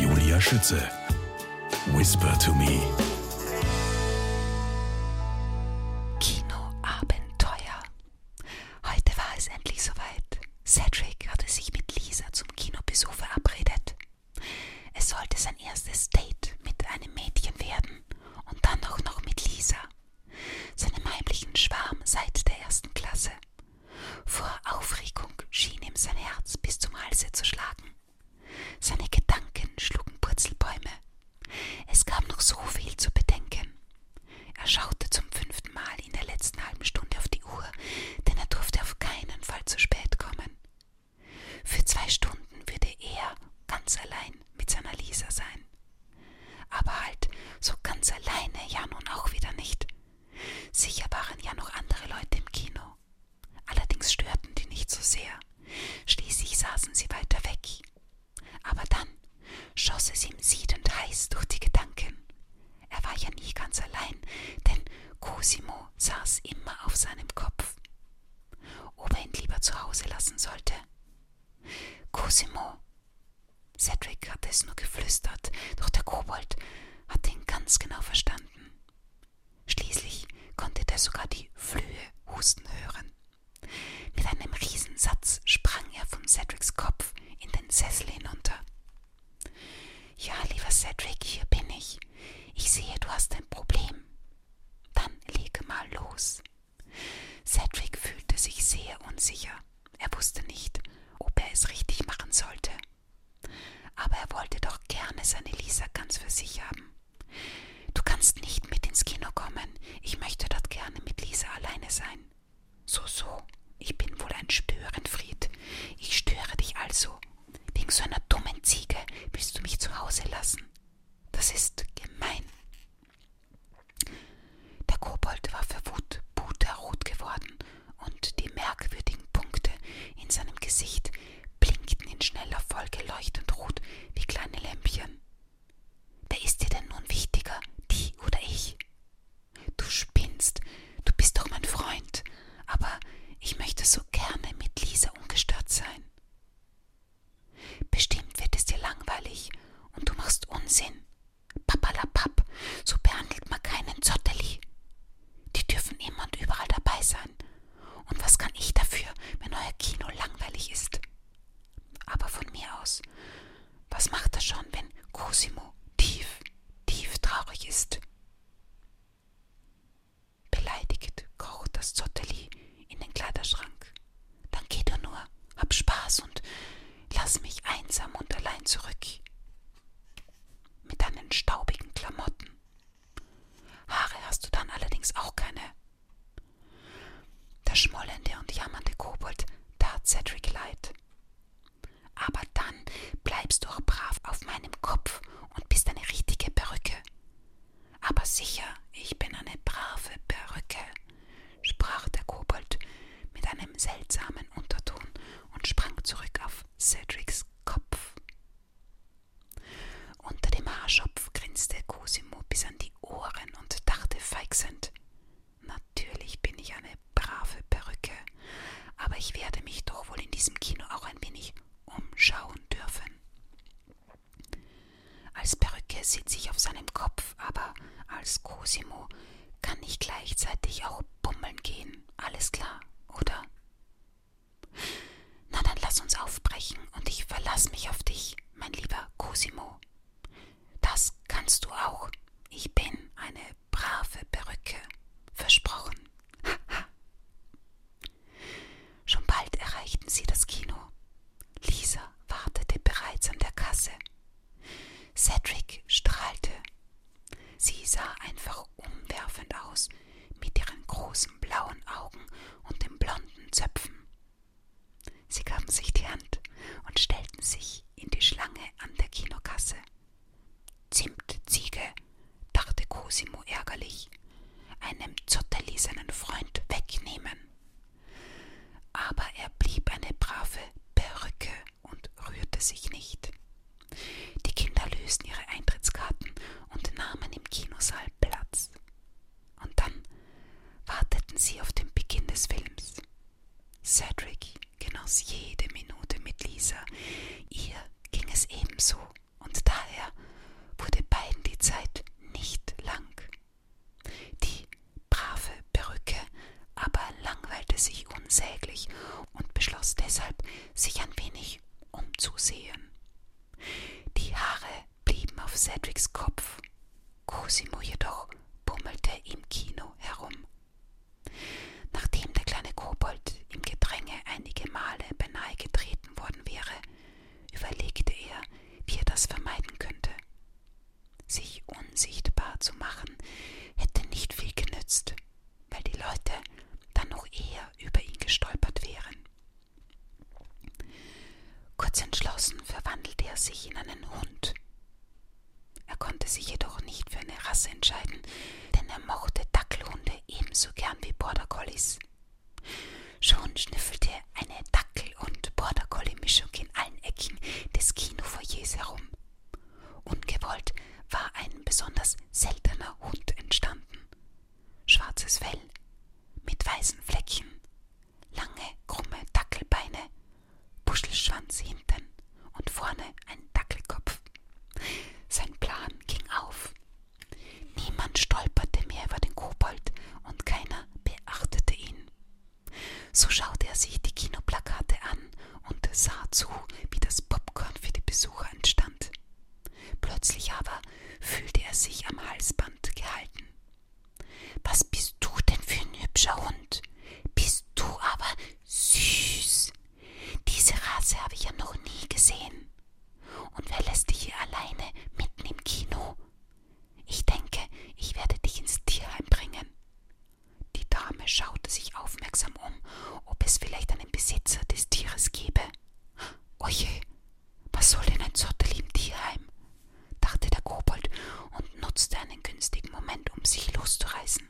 Julia Schütze. Whisper to me. Kinoabenteuer. Heute war es endlich soweit. Cedric hatte sich mit Lisa zum Kinobesuch verabredet. Es sollte sein erstes Date mit einem Mädchen werden und dann auch noch mit Lisa, seinem heimlichen Schwarm seit der ersten Klasse. Vor Aufregung schien ihm sein Herz bis zum Halse zu schlagen. Seine Gedanken schlugen Purzelbäume. Es gab noch so viel zu bedenken. Er schaute zum fünften Mal in der letzten halben Stunde auf die Uhr, denn er durfte auf keinen Fall zu spät kommen. Für zwei Stunden würde er ganz allein mit seiner Lisa sein. Aber halt, so ganz alleine ja nun auch wieder nicht. Sicher waren ja noch andere Leute im Kino. Allerdings störten die nicht so sehr. Schließlich saßen sie weiter weg. Aber dann schoss es ihm siedend heiß durch die Gedanken. Er war ja nie ganz allein, denn Cosimo saß immer auf seinem Kopf. Ob er ihn lieber zu Hause lassen sollte? Cosimo! Cedric hatte es nur geflüstert, doch der Kobold hatte ihn ganz genau verstanden. Schließlich konnte der sogar die Flöhe husten hören. Mit einem Riesensatz sprang er von Cedrics Kopf in den Sessel hinunter. Ja, lieber Cedric, hier bin ich. Ich sehe, du hast ein Problem. Dann lege mal los. Cedric fühlte sich sehr unsicher. Er wusste nicht, ob er es richtig machen sollte. Aber er wollte doch gerne seine Lisa ganz für sich haben. Du kannst nicht mit ins Kino kommen. Ich möchte dort gerne mit Lisa alleine sein. So, so. Ich bin wohl ein Störenfried. Ich störe dich also. Wegen so einer dummen Ziege willst du mich zu Hause lassen. Das ist gemein. Der Kobold war für Wut puterrot geworden und die merkwürdigen Punkte in seinem Gesicht blinkten in schneller Folge leuchtend rot wie kleine Lämpchen. Wer ist dir denn nun wichtiger, die oder ich? Du spinnst, du bist doch mein Freund, aber ich möchte so gerne mit Lisa ungestört sein. Bestimmt wird es dir langweilig und du machst Unsinn, Papperlapapp, so behandelt man keinen Zotteli. Die dürfen immer und überall dabei sein. Und was kann ich dafür, wenn euer Kino langweilig ist? Aber von mir aus, was macht er schon, wenn Cosimo tief, tief traurig ist? Beleidigt kroch das Zotteli in den Kleiderschrank. Dann geh doch nur, hab Spaß und lass mich einsam und allein zurück mit deinen staubigen Klamotten. Haare hast du dann allerdings auch keine. Der schmollende und jammernde Kobold tat Cedric leid. Aber dann bleibst du auch brav auf meinem Kopf und bist eine richtige Perücke. Aber sicher, ich bin eine brave Perücke, sprach der Kobold, mit einem seltsamen Unterton und sprang zurück auf Cedrics Kopf. Unter dem Haarschopf grinste Cosimo bis an die Ohren und dachte feixend: Natürlich bin ich eine brave Perücke, aber ich werde mich doch wohl in diesem Kino auch ein wenig umschauen dürfen. Als Perücke sitze ich auf seinem Kopf, aber als Cosimo kann ich gleichzeitig auch bummeln gehen, alles klar, oder? Na dann lass uns aufbrechen und ich verlass mich auf dich, mein lieber Cosimo. Das kannst du auch. Ich bin eine brave Perücke. Versprochen. Schon bald erreichten sie das Kino. Lisa wartete bereits an der Kasse. Cedric strahlte. Sie sah einfach umwerfend aus, mit ihren großen blauen Augen und den blonden Zöpfen. Sie gaben sich die Hand und stellten sich in die Schlange an der Kinokasse. Zimtziege, dachte Cosimo ärgerlich, einem zotterlesenen Freund wegnehmen. Aber er blieb eine brave Perücke und rührte sich nicht. Die Kinder lösten ihre Eintrittskarten und nahmen im Kinosaal Platz. Und dann warteten sie auf den Beginn des Films. Cedric genoss jede Minute mit Lisa. Ihr ging es ebenso, und daher wurde beiden die Zeit nicht lang. Die brave Perücke aber langweilte sich unsäglich und beschloss deshalb, sich ein wenig umzusehen. Die Haare blieben auf Cedrics Kopf, Cosimo jedoch bummelte im Kino herum. Nachdem der kleine Kobold im Gedränge einige Male beinahe getreten worden wäre, überlegte er, wie er das vermeiden könnte. Sich unsichtbar zu machen, hätte nicht viel genützt weil die Leute dann noch eher über ihn gestolpert wären. Kurz entschlossen verwandelte er sich in einen Hund. Er konnte sich jedoch nicht für eine Rasse entscheiden, denn er mochte Dackelhunde ebenso gern wie Border Collies. Schon schnüffelte eine Dackel- und Border Collie-Mischung in allen Ecken des Kinofoyers herum. Ungewollt war ein besonders seltener Hund entstanden. Schwarzes Fell mit weißen Fleckchen, lange, krumme Dackelbeine, Buschelschwanz hinten und vorne ein Dackelkopf. Sein Plan ging auf. Niemand stolperte mehr über den Kobold und keiner beachtete ihn. So schaute er sich die Kinoplakate an und sah zu, wie das Popcorn für die Besucher entstand. Plötzlich aber fühlte er sich am Halsband gehalten. Was bist du denn für ein hübscher Hund? Bist du aber süß. Diese Rasse habe ich ja noch nie gesehen. Und wer lässt dich hier alleine mitten im Kino? Ich denke, ich werde dich ins Tierheim bringen. Die Dame schaute sich aufmerksam um, ob es vielleicht einen Besitzer des Tieres gäbe. Oje, was soll denn ein Zottel im Tierheim? dachte der Kobold und nutzte einen günstigen Moment, um sich loszureißen.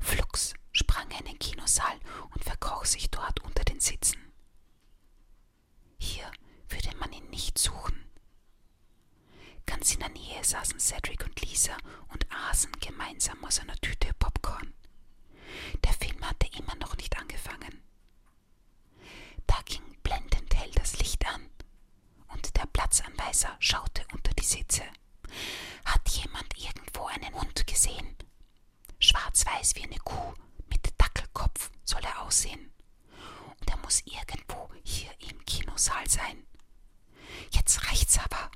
Flugs sprang er in den Kinosaal und verkroch sich dort unter den Sitzen. Hier würde man ihn nicht suchen. Ganz in der Nähe saßen Cedric und Lisa und aßen gemeinsam aus einer Tüte Popcorn. Der Film hatte immer noch nicht angefangen. Da ging blendend hell das Licht an und der Platzanweiser schaute unter die Sitze. Hat jemand irgendwo einen Hund gesehen? Schwarz-weiß wie eine Kuh, mit Dackelkopf soll er aussehen. Und er muss irgendwo hier im Kinosaal sein. Jetzt reicht's aber.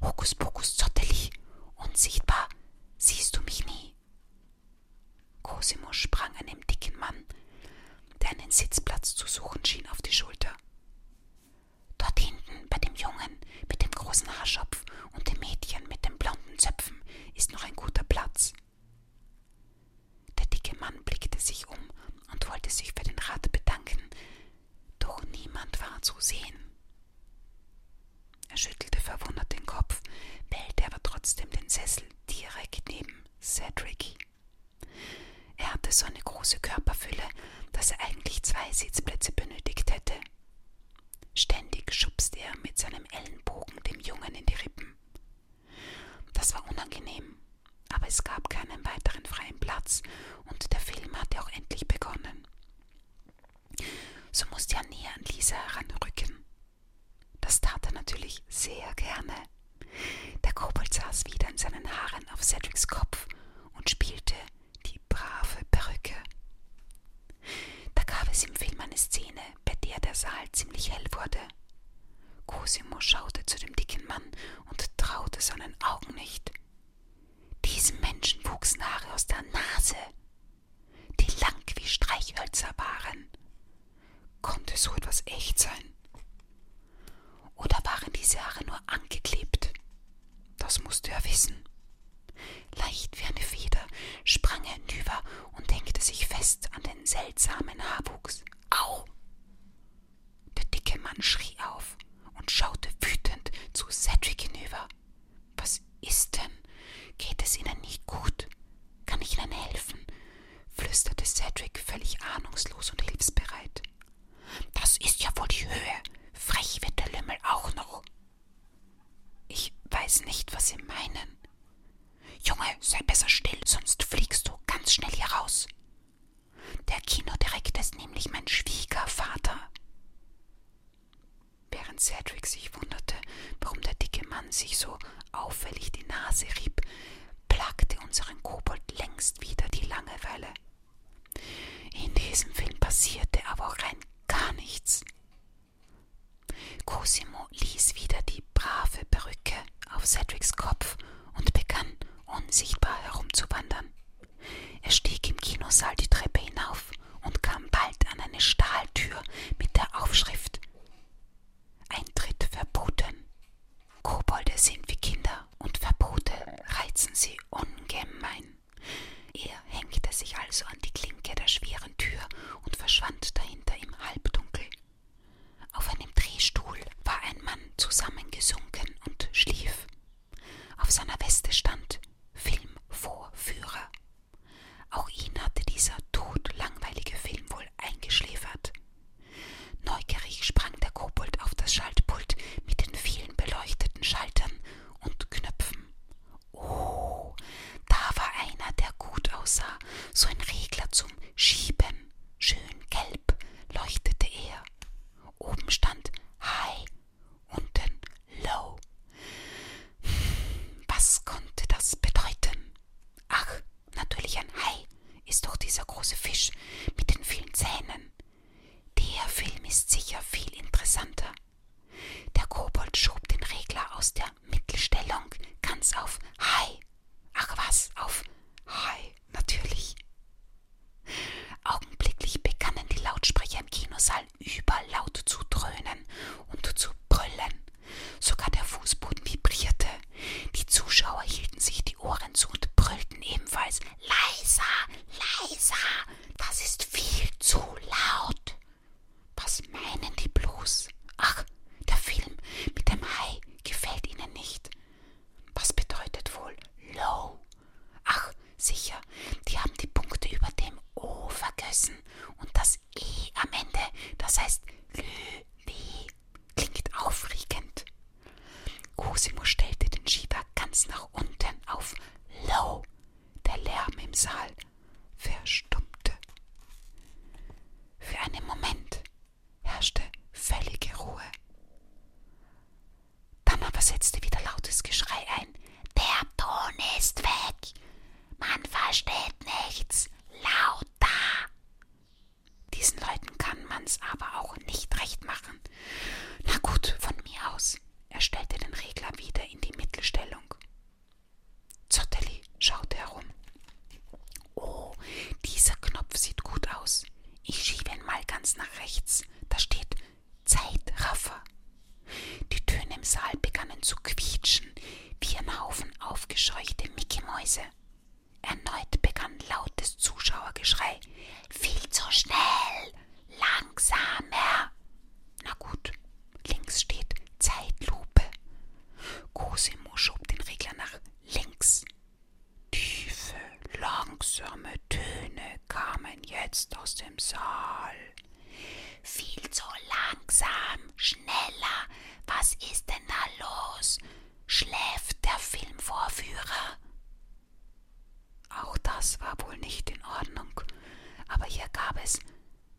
Hokus pokus zotteli. Unsichtbar siehst du mich nie. Cosimo sprang einem dicken Mann, der einen Sitzplatz zu suchen schien, auf die Schulter. Dort hinten bei dem Jungen mit dem großen Haarschopf und dem Mädchen mit den blonden Zöpfen ist noch ein guter Platz. Der dicke Mann blickte sich um und wollte sich für den Rat bedanken, doch niemand war zu sehen. Er schüttelte verwundert den Kopf, wählte aber trotzdem den Sessel direkt neben Cedric. Er hatte so eine große Körperfülle, dass er eigentlich zwei Sitzplätze benötigt hätte. Ständig schubste er mit seinem Ellenbogen dem Jungen in die Rippen. Das war unangenehm aber es gab keinen weiteren freien Platz und der Film hatte auch endlich begonnen. So musste er näher an Lisa heranrücken. Das tat er natürlich sehr gerne. Der Kobold saß wieder in seinen Haaren auf Cedrics Kopf und spielte die brave Perücke. Da gab es im Film eine Szene, bei der der Saal ziemlich hell wurde. Cosimo schaute zu dem dicken Mann und traute seinen Augen nicht. Diesem Menschen wuchsen Haare aus der Nase, die lang wie Streichhölzer waren. Konnte so etwas echt sein? Oder waren diese Haare nur angeklebt? Das musste er wissen. Leicht wie eine Feder sprang er hinüber und hängte sich fest an den seltsamen Haarwuchs. Au! Der dicke Mann schrie auf und schaute wütend zu Cedric hinüber. Was ist denn? Geht es Ihnen nicht gut? Kann ich Ihnen helfen? flüsterte Cedric völlig ahnungslos und hilfsbereit. Das ist ja wohl die Höhe. Frech wird der Lümmel auch noch. Ich weiß nicht, was Sie meinen. Junge, sei besser still, sonst fliegst du ganz schnell hier raus. Der Kinodirektor ist nämlich mein Schwiegervater. Während Cedric sich wunderte, warum der dicke Mann sich so auffällig die Nase rieb, plagte unseren Kobold längst wieder die Langeweile. In diesem Film passierte aber auch rein gar nichts. Cosimo ließ wieder die brave Perücke auf Cedrics Kopf und begann unsichtbar herumzuwandern. Er stieg im Kinosaal die Treppe hinauf und kam bald an eine Stahltür mit der Aufschrift Eintritt verboten. Kobolde sind wie Kinder und Verbote reizen sie ungemein. Er hängte sich also an die Klinke der schweren Tür und verschwand dahinter im Halbdunkel. Auf einem Drehstuhl war ein Mann zusammengesunken und schlief. Auf seiner Weste stand Filmvorführer. Auch ihn hatte dieser todlangweilige Film wohl eingeschläfert. Neugierig sprang der Kobold auf das Schaltpult mit den vielen beleuchteten Schaltern und Knöpfen. Oh, da war einer, der gut aussah, so ein Regler zum Schieben, schön gelb leuchtete er. Oben stand High, unten Low. Was konnte das bedeuten? Ach, natürlich ein Hai ist doch dieser große Fisch mit den vielen Zähnen. Der Film ist sicher viel interessanter. Der Kobold schob den Regler aus der Mittelstellung ganz auf High. Ach was, auf High, natürlich. Augenblicklich begannen die Lautsprecher im Kinosaal überlaut zu dröhnen und zu brüllen. Sogar der Fußboden vibrierte. Die Zuschauer hielten sich die Ohren zu und brüllten ebenfalls leiser, leiser. Das ist viel zu laut. Was meinen die bloß? Ach, der Film mit dem Hai gefällt ihnen nicht. Was bedeutet wohl low? Ach, sicher, die haben die Punkte über dem O vergessen und das E am Ende, das heißt Löwe. Klingt aufregend. Cosimo stellte den Schieber ganz nach unten auf low. Der Lärm im Saal verstummte. Für einen Moment herrschte völlige Ruhe. Dann aber setzte wieder lautes Geschrei ein. Der Ton ist weg. Man versteht nichts. Lauter. Diesen Leuten kann man's aber auch nicht recht machen. Na gut, von mir aus. Er stellte den Regler wieder in die Mittelstellung. Zottelli schaute herum. Oh, dieser Knopf sieht gut aus. Ich schiebe ihn mal ganz nach rechts. Da steht Zeitraffer. Die Töne im Saal begannen zu quietschen, wie ein Haufen aufgescheuchte Mickey-Mäuse. Erneut begann lautes Zuschauergeschrei. Viel zu schnell! Langsamer! Na gut, links steht Zeitlupe. Cosimo schob den Regler nach links. Tiefe, langsame Töne kamen jetzt aus dem Saal. Viel zu langsam, schneller. Was ist denn da los? Schläft der Filmvorführer? Auch das war wohl nicht in Ordnung, aber hier gab es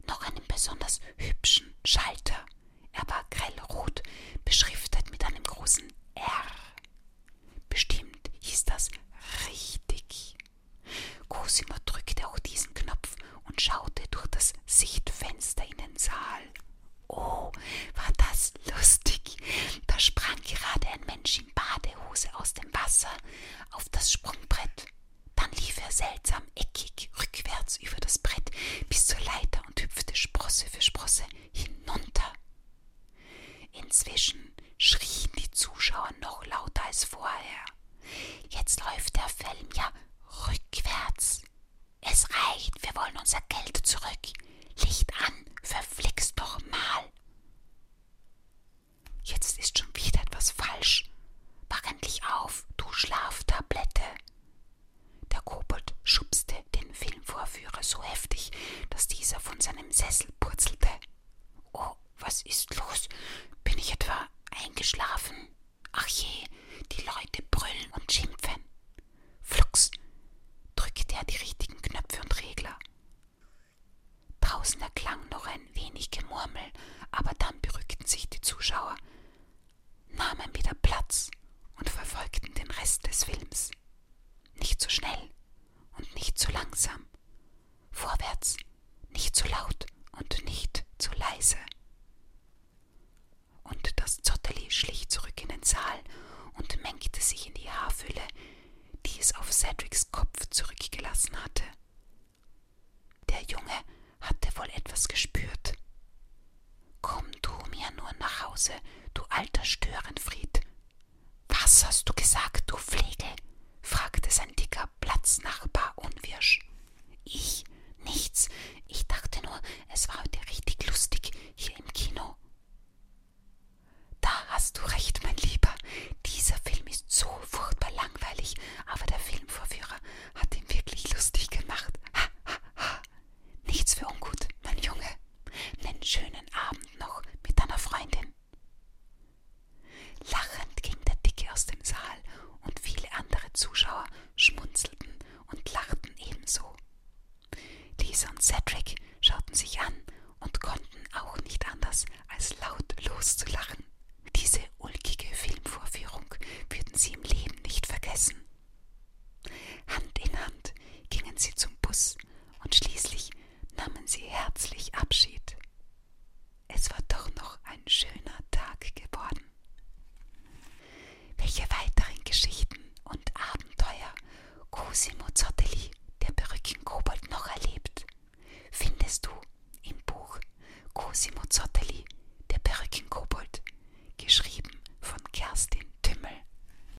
noch einen besonders hübschen Schalter. Er war grellrot, beschriftet mit einem großen R. Bestimmt hieß das richtig. Cosima drückte auch diesen Knopf und schaute durch das Sichtfenster in den Saal. Oh, war das lustig! Da sprang gerade ein Mensch in Badehose aus dem Wasser auf das Sprungbrett. Dann lief er seltsam eckig rückwärts über das Brett bis zur Leiter und hüpfte Sprosse für Sprosse hinunter. Inzwischen schrien die Zuschauer noch lauter als vorher. Jetzt läuft der Film ja rückwärts. Es reicht, wir wollen unser Geld zurück. Licht an, verflixt doch mal. Jetzt ist schon wieder etwas falsch. Wach endlich auf, du Schlaftablette. Der Kobold schubste den Finger vielen Vorführer so heftig, dass dieser von seinem Sessel purzelte. Oh, was ist los? Bin ich etwa eingeschlafen? Ach je, die Leute brüllen und schimpfen. Flux, drückte er die richtigen Knöpfe und Regler. Draußen erklang noch ein wenig Gemurmel, aber dann berückten sich die Zuschauer, nahmen wieder Platz und verfolgten den Rest des Films. Nicht so schnell, und nicht zu langsam. Vorwärts, nicht zu laut und nicht zu leise. Und das Zotteli schlich zurück in den Saal und mengte sich in die Haarfülle, die es auf Cedrics Kopf zurückgelassen hatte. Der Junge hatte wohl etwas gespürt. Komm du mir nur nach Hause, du alter Störenfried, was hast du gesagt, du Flegel? fragte sein dicker Platznachbar unwirsch. Ich? Nichts. Ich dachte nur, es war heute richtig lustig hier im Kino. Da hast du recht, mein Lieber. Dieser Film ist so furchtbar langweilig, aber der Filmvorführer hat ihn wirklich lustig gemacht. Ha, ha, ha. Nichts für ungut, mein Junge. Nen schönen Abend noch mit deiner Freundin. Lachend ging der Dicke aus dem Saal und viele andere Zuschauer schmunzelten und lachten ebenso. Lisa und Cedric schauten sich an und konnten auch nicht anders, als laut loszulachen. Diese ulkige Filmvorführung würden sie im Leben nicht vergessen. Hand in Hand gingen sie zum Bus und schließlich nahmen sie herzlich Abschied. Es war doch noch ein schöner Tag geworden. Welche weiteren Geschichten und Abenteuer Cosimo Zottelli, der Perückenkobold, noch erlebt, findest du im Buch Cosimo Zottelli, der Perückenkobold, geschrieben von Kerstin Tümmel.